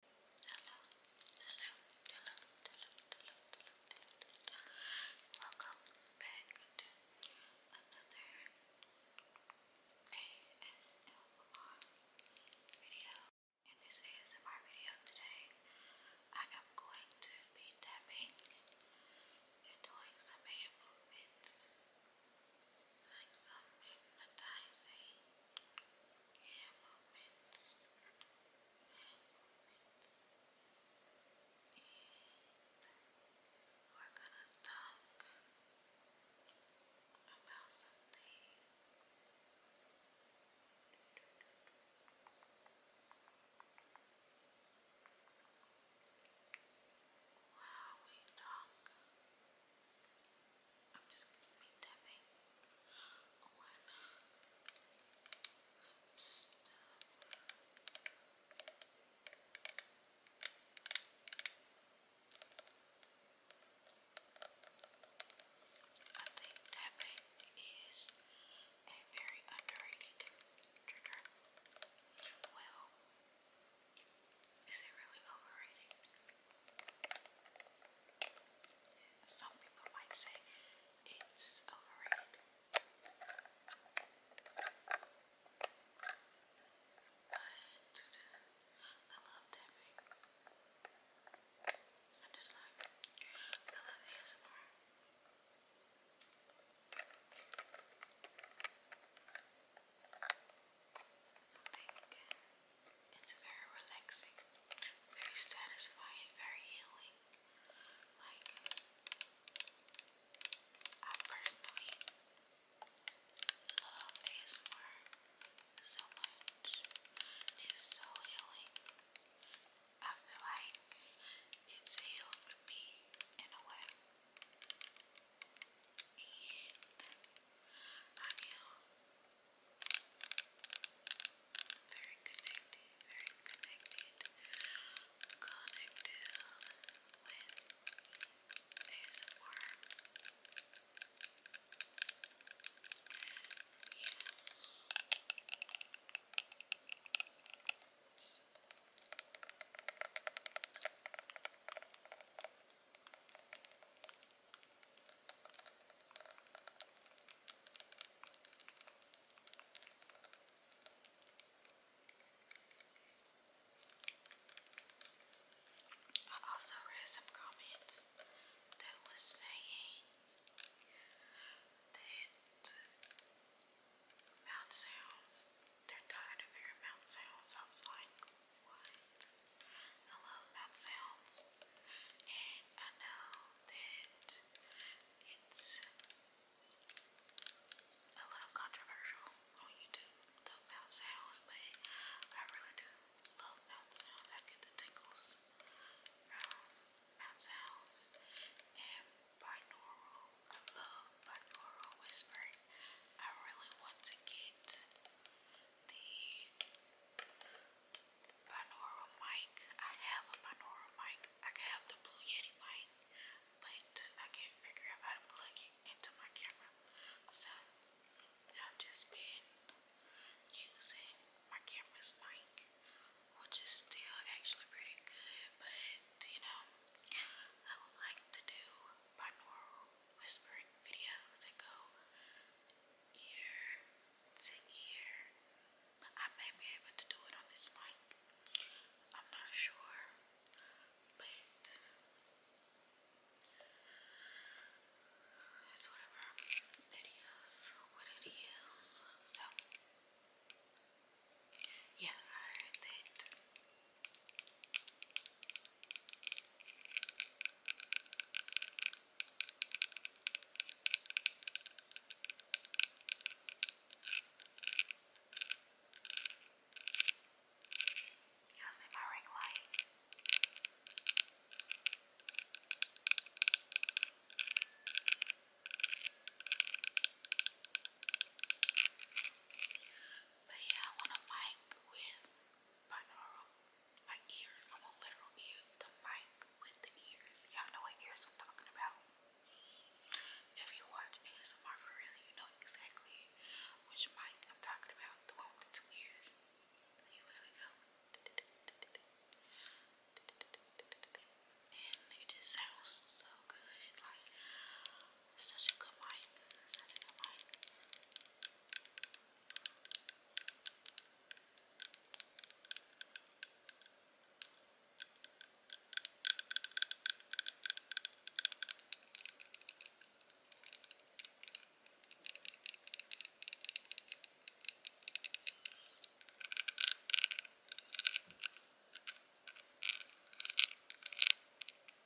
hello. Welcome back to another ASMR video. In this ASMR video today, I am going to be tapping and doing some hand movements, like some hypnotizing. Hair movements. Hair movement. And we're gonna talk about some things. While we talk about I'm just gonna be tapping on some stuff. I think tapping is a very underrated trigger. Well, is it really overrated? Some people might say it's overrated. But I love tapping. I just like I love ASMR. i it's very relaxing, very satisfying, very healing. Like, I personally love ASMR so much. It's so healing. I feel like it's healed me in a way. And I am very connected, very connected, connected with ASMR. Yeah. Thank you, I also read some comments that was saying that mouth sounds, they're tired of hearing mouth sounds. I was like, wood. I love mouth sounds. And I know that it's a little controversial on YouTube, the mouth sounds, but I really do love mouth sounds. I get the tickles from mouth sounds. And binaural, I love binaural whispering. I really want to get the binaural mic. I have a binaural mic. I can have the Blue Yeti mic, but I can't figure out how to plug it into my camera. So I've just been using my camera's mic, which is still actually pretty good, but you know, I would like to do binaural whispering videos that go ear to ear. But I may be able to do it on this mic. I'm not sure. But it's whatever videos, what it is. So yeah, I heard You'll see my ring light. But yeah, I want a mic with binaural. My ears, I'm a literal ear, the mic with the ears. Y'all know what ears I'm talking about. If you watch ASMR for real, you know exactly which mic I'm talking about. The one with the two ears. You literally go and it just sounds so good. Such a good mic. Such a good mic.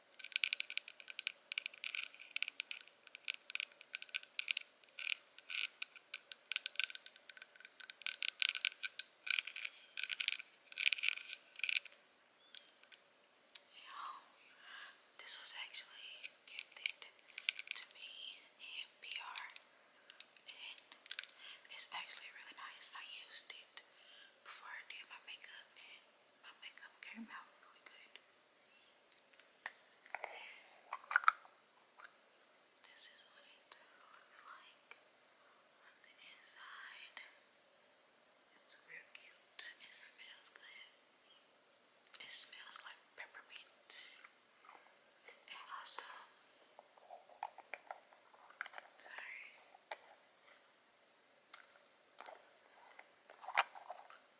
You this was actually gifted to me in PR, and it's actually really nice. I used it before I did my makeup, and my makeup came out really good. This is what it looks like on the inside. It's real cute. It smells good. It smells like peppermint. And also, sorry.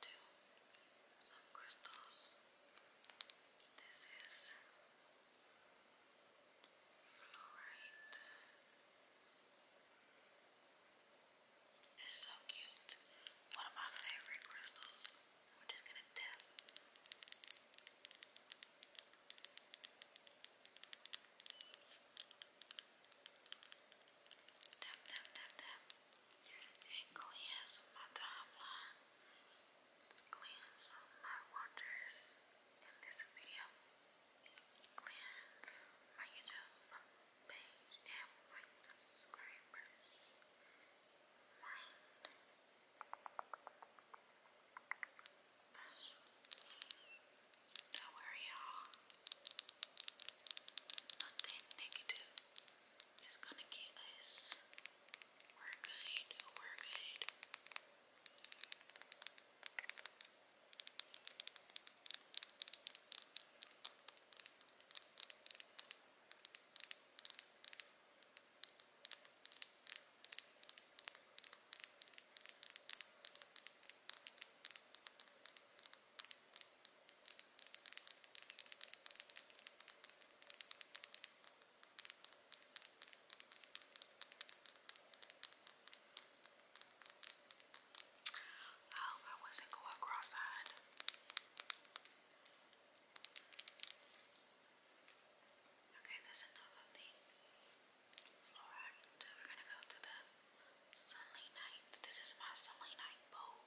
to some crystals. This is fluorite. It's so cute. One of my favorite crystals. We're just gonna Tap, tap, tap, tap and cleanse my timeline, cleanse my watchers in this video, cleanse my YouTube page and my subscribers. Don't worry, y'all. Nothing negative is gonna get us. We're good, we're good. I oh, hope I wasn't going cross-eyed. Okay, that's enough of the fluoride. we're gonna go to the selenite. This is my selenite bowl.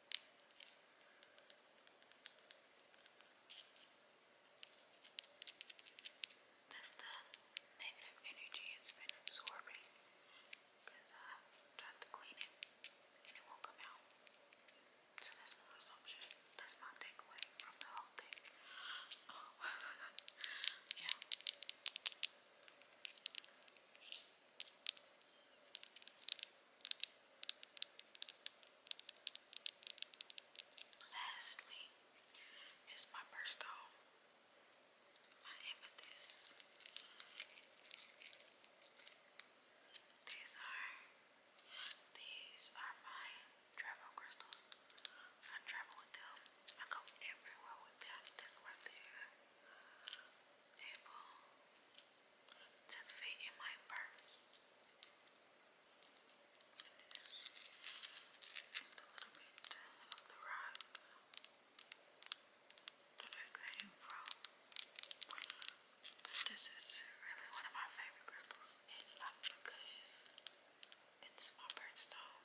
That's the negative energy it's been absorbing uh, I tried to clean it and it won't come out. So that's my assumption. That's my takeaway from the whole thing. yeah. Lastly is my birthstone, my amethyst. These are these are my travel crystals. I travel with them. I go everywhere with them. That's right there able to fit in my purse. And it is just a little bit of the rock that I came from. This is really one of my favorite crystals in life because it's my birthstone.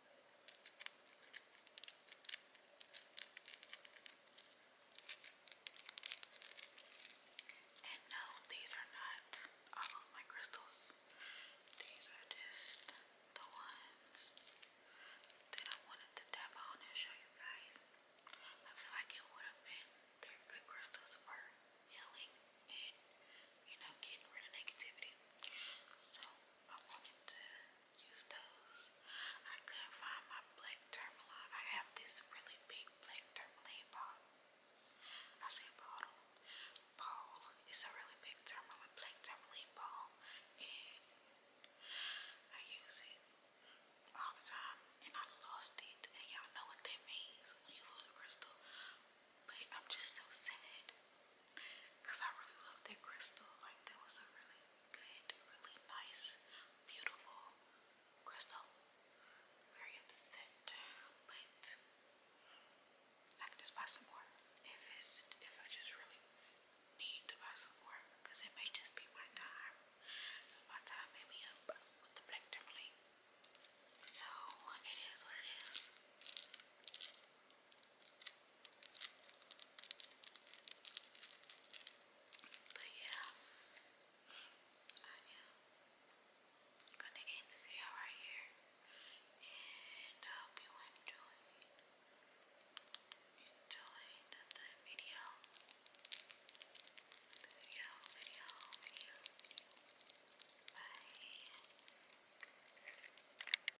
And no, these are not all of my crystals. These are just the ones that I wanted to tap on and show you guys. I feel like it would have been good crystals for healing and you know getting rid of negativity. So I wanted to use those. I couldn't find my black tourmaline. I have this really big black tourmaline ball. I say bottle. Ball. It's a really big tourmaline, black tourmaline ball. And I use it all the time. And I lost it. And y'all know what that means when you lose a crystal. But I'm just so sad because I really loved that crystal. Like, that was a really good, really nice, beautiful crystal. Very upset, but I can just buy some more if it's if I just really need to buy some more because it may just be my time. My time may be up with the black tourmaline. So it is what it is. But yeah, I am gonna end the video right here, and I hope you enjoyed enjoyed the, video, video, video, video. Bye.